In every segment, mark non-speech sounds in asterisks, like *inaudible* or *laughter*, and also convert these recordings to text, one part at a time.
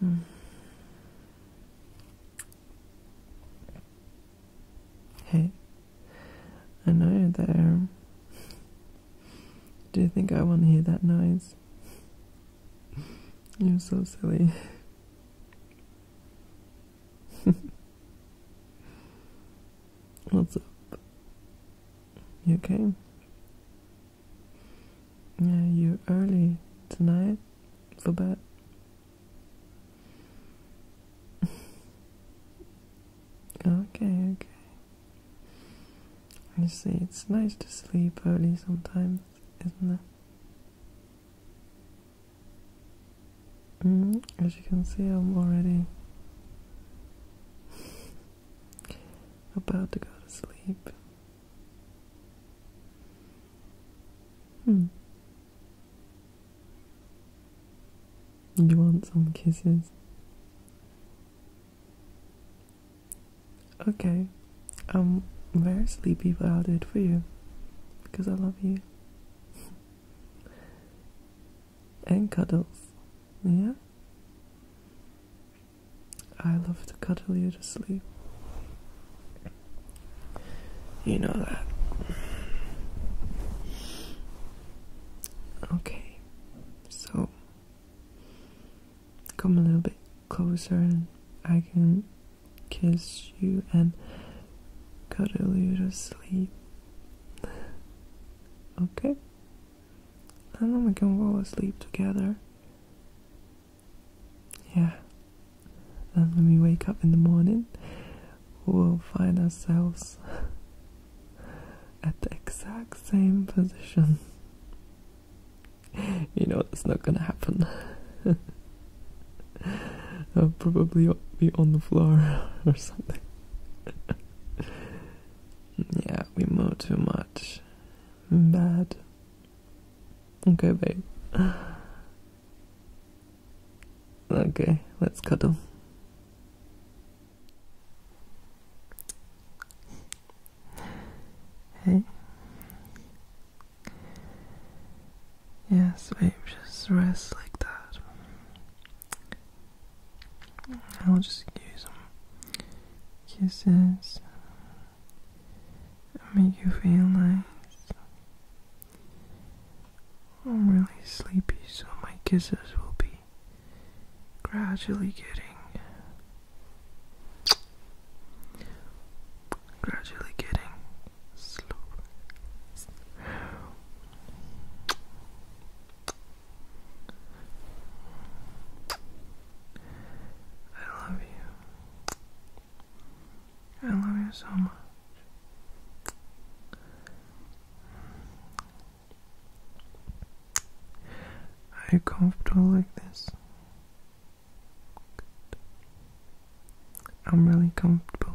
Hmm. Hey, I know you're there. Do you think I want to hear that noise? *laughs* You're so silly. *laughs* What's up? You okay? Yeah, you're early tonight for bed. *laughs* okay, okay. I see, it's nice to sleep early sometimes, isn't it? Mm-hmm. as you can see, I'm already about to go to sleep. Hmm. You want some kisses? Okay. I'm very sleepy, but I'll do it for you. Because I love you. *laughs* and cuddles. Yeah? I love to cuddle you to sleep. You know that. Okay, so come a little bit closer and I can kiss you and cuddle you to sleep. *laughs* Okay. And then we can fall asleep together. Yeah. And when we wake up in the morning, we'll find ourselves at the exact same position. *laughs* you know, that's not gonna happen. *laughs* I'll probably be on the floor *laughs* or something. Yeah, we move too much. Bad. Okay, babe. *sighs* Okay, let's cuddle. Hey. Yes, babe, just rest like that. I'll just give some kisses, make you feel nice. I'm really sleepy, so my kisses will be gradually getting, gradually getting slow. I love you. I love you so much. Are you comfortable like this? Good. I'm really comfortable.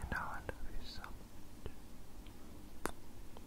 And now I love you so much.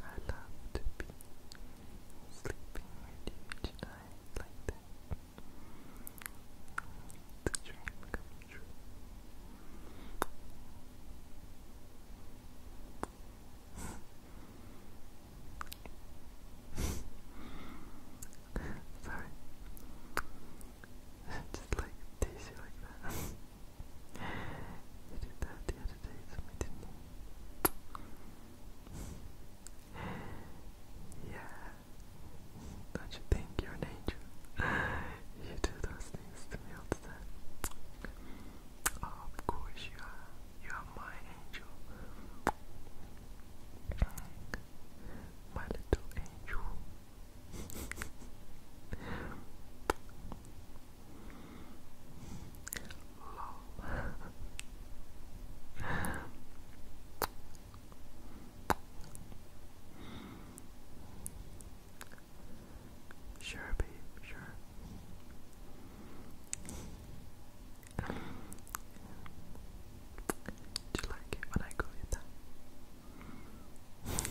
I love to be sleeping with you tonight like that. It's a come true. Sorry. Just like tease you like that. You did that the other day yeah. Don't you think you're an angel? You do those things to me all the time. of course you are. You are my angel. My little angel. Sure, babe, sure. Do you like when I go with that?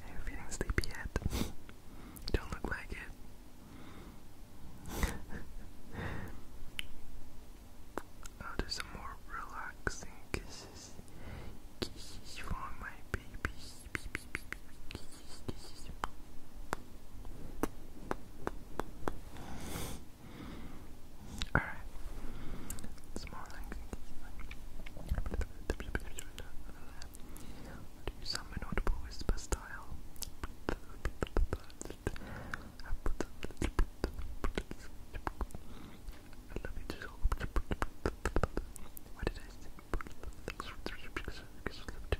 Are you feeling sleepy yet? *laughs* Don't look like it. I'll *laughs* oh, some more relaxing kisses. my baby. Alright. It's more like do some inaudible whisper style. I love it so. What did I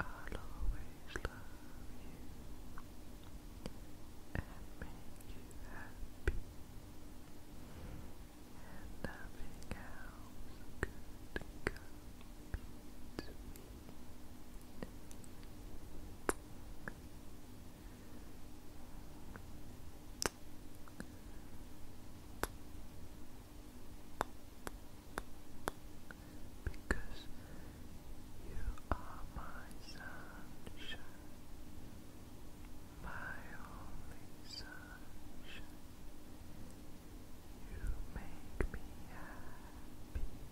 I'll always love you and make you happy, and nothing else could come between because you are my sunshine, my only sunshine. You make me happy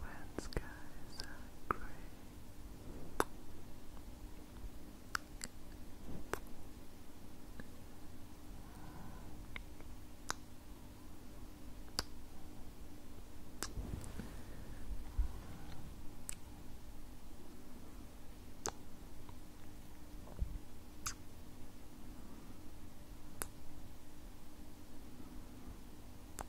when skies are grey.